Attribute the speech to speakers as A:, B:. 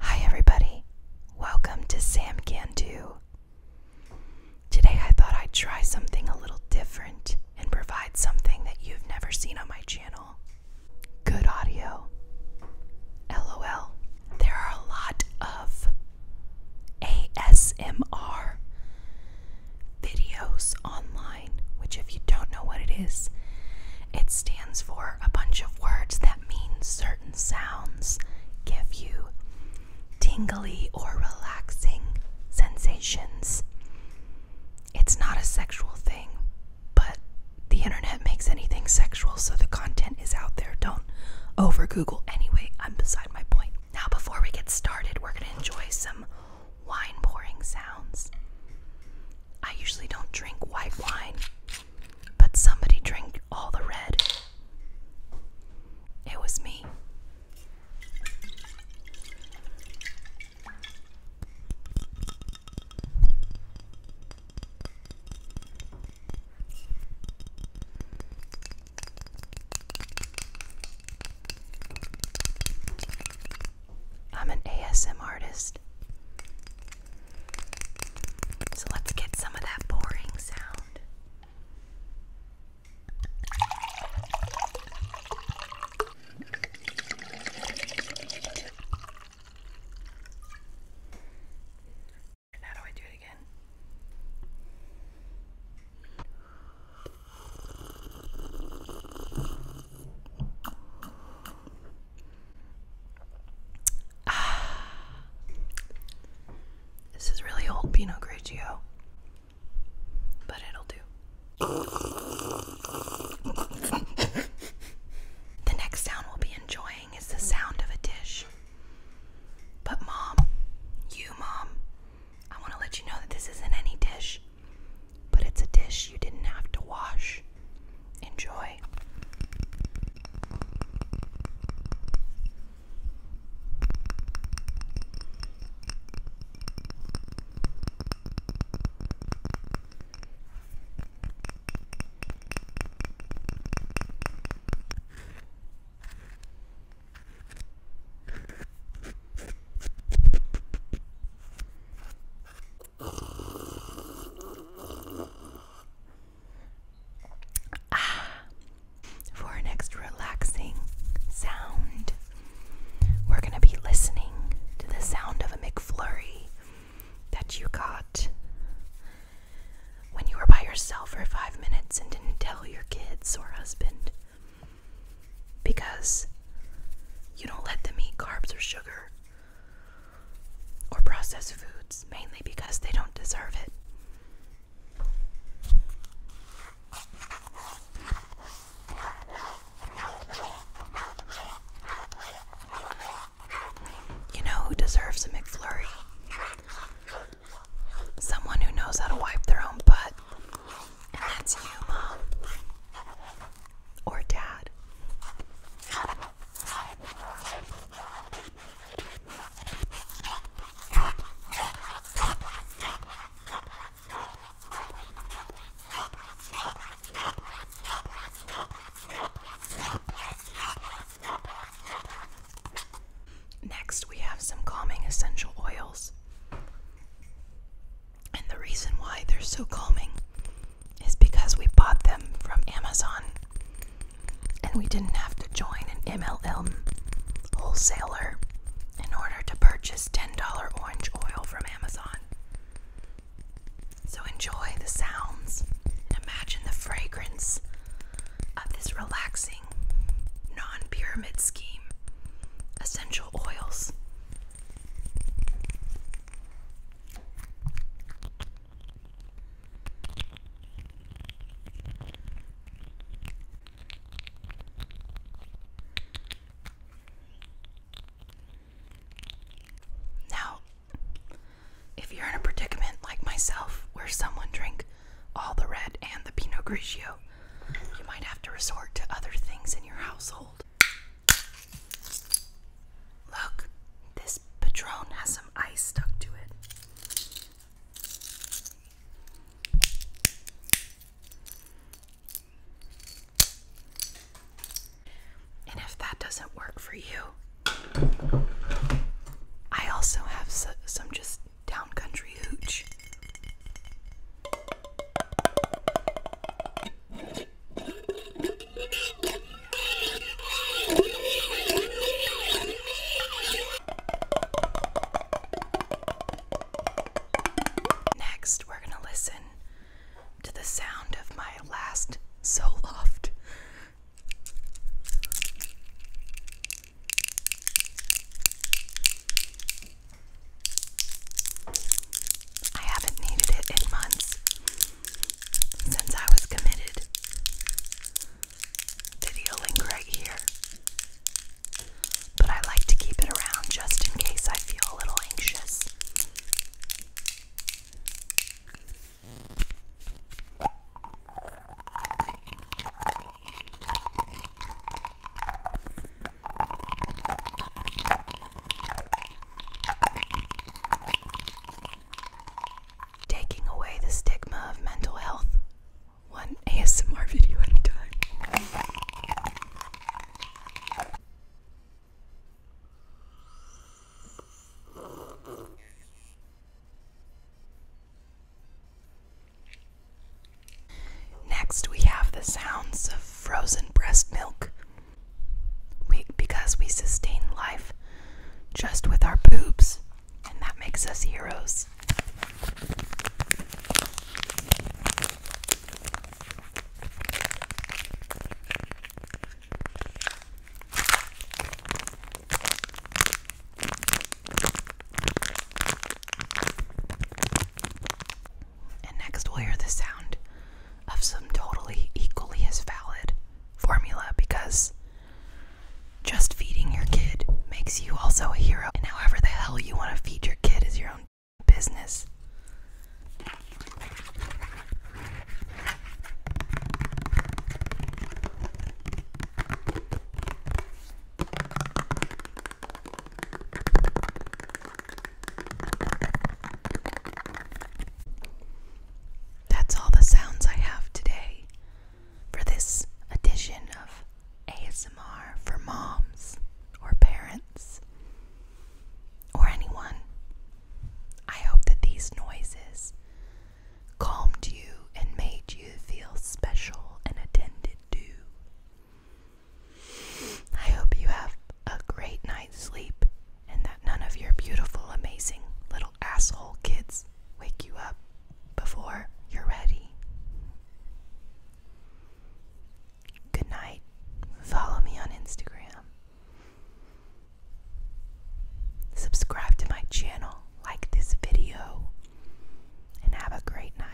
A: Hi, everybody. Welcome to Sam Can Do. Today, I thought I'd try something a little different and provide something that you've never seen on my channel good audio. LOL. There are a lot of ASMR videos online, which, if you don't know what it is, it stands for a bunch of words that mean certain sounds give you tingly or relaxing sensations. It's not a sexual thing, but the internet makes anything sexual, so the content is out there. Don't over Google. Anyway, I'm beside my point. Now, before we get started, we're going to enjoy some wine pouring sounds. I usually don't drink white wine, but somebody drank all the red. It was me. I'm an ASM artist. So let's get some of that boring sound. how do I do it again? Ah, this is really old Pinot Grigio, but it'll do. the next sound we'll be enjoying is the sound of a dish. But, Mom, you, Mom, I want to let you know that this isn't any dish but it's a dish you didn't have to wash. Enjoy. Ah. For an extra relaxing sound, we're going to be listening to the sound of a McFlurry that you got when you were by yourself for five minutes and didn't tell your kids or husband because you don't let them eat carbs or sugar or processed foods, mainly because they don't deserve it. You know who deserves a McFlurry? Someone who knows how to wipe their own butt and that's you, Mom. Or Dad. Next, we have some calming essential oils. And the reason why they're so calming is because we bought them from Amazon and we didn't have to join an MLM wholesaler in order to purchase $10 orange oil from Amazon. So enjoy the sounds. and Imagine the fragrance of this relaxing non pyramid scheme essential oils. Now, if you're in a predicament like myself where someone drank all the red and the Pinot Grigio you might have to resort to other things in your household. Look, this Patron has some ice stuck to it. And if that doesn't work for you, I also have some just country hooch. Next, we're going to listen to the sound of my last Zoloft. I haven't needed it in months since I was committed. Video link right here. But I like to keep it around just in case I feel a little anxious. Taking away the stigma of mental health, one ASMR video at a time. Next, we have the sounds of frozen breast milk. We, because we sustain life just with our boobs, and that makes us heroes. And next, we'll hear the sound of some totally equally as valid formula because just feeding your kid makes you also a hero. And however the hell you want to feed your kid is your own business. That's all the sounds I have today for this edition of ASMR for moms or parents or anyone. I hope that these noises calmed you and made you feel special and attended to. I hope you have a great night's sleep and that none of your beautiful, amazing little asshole kids wake you up before you're ready. Good night. Follow me on Instagram. Subscribe to my channel, like this video, and have a great night.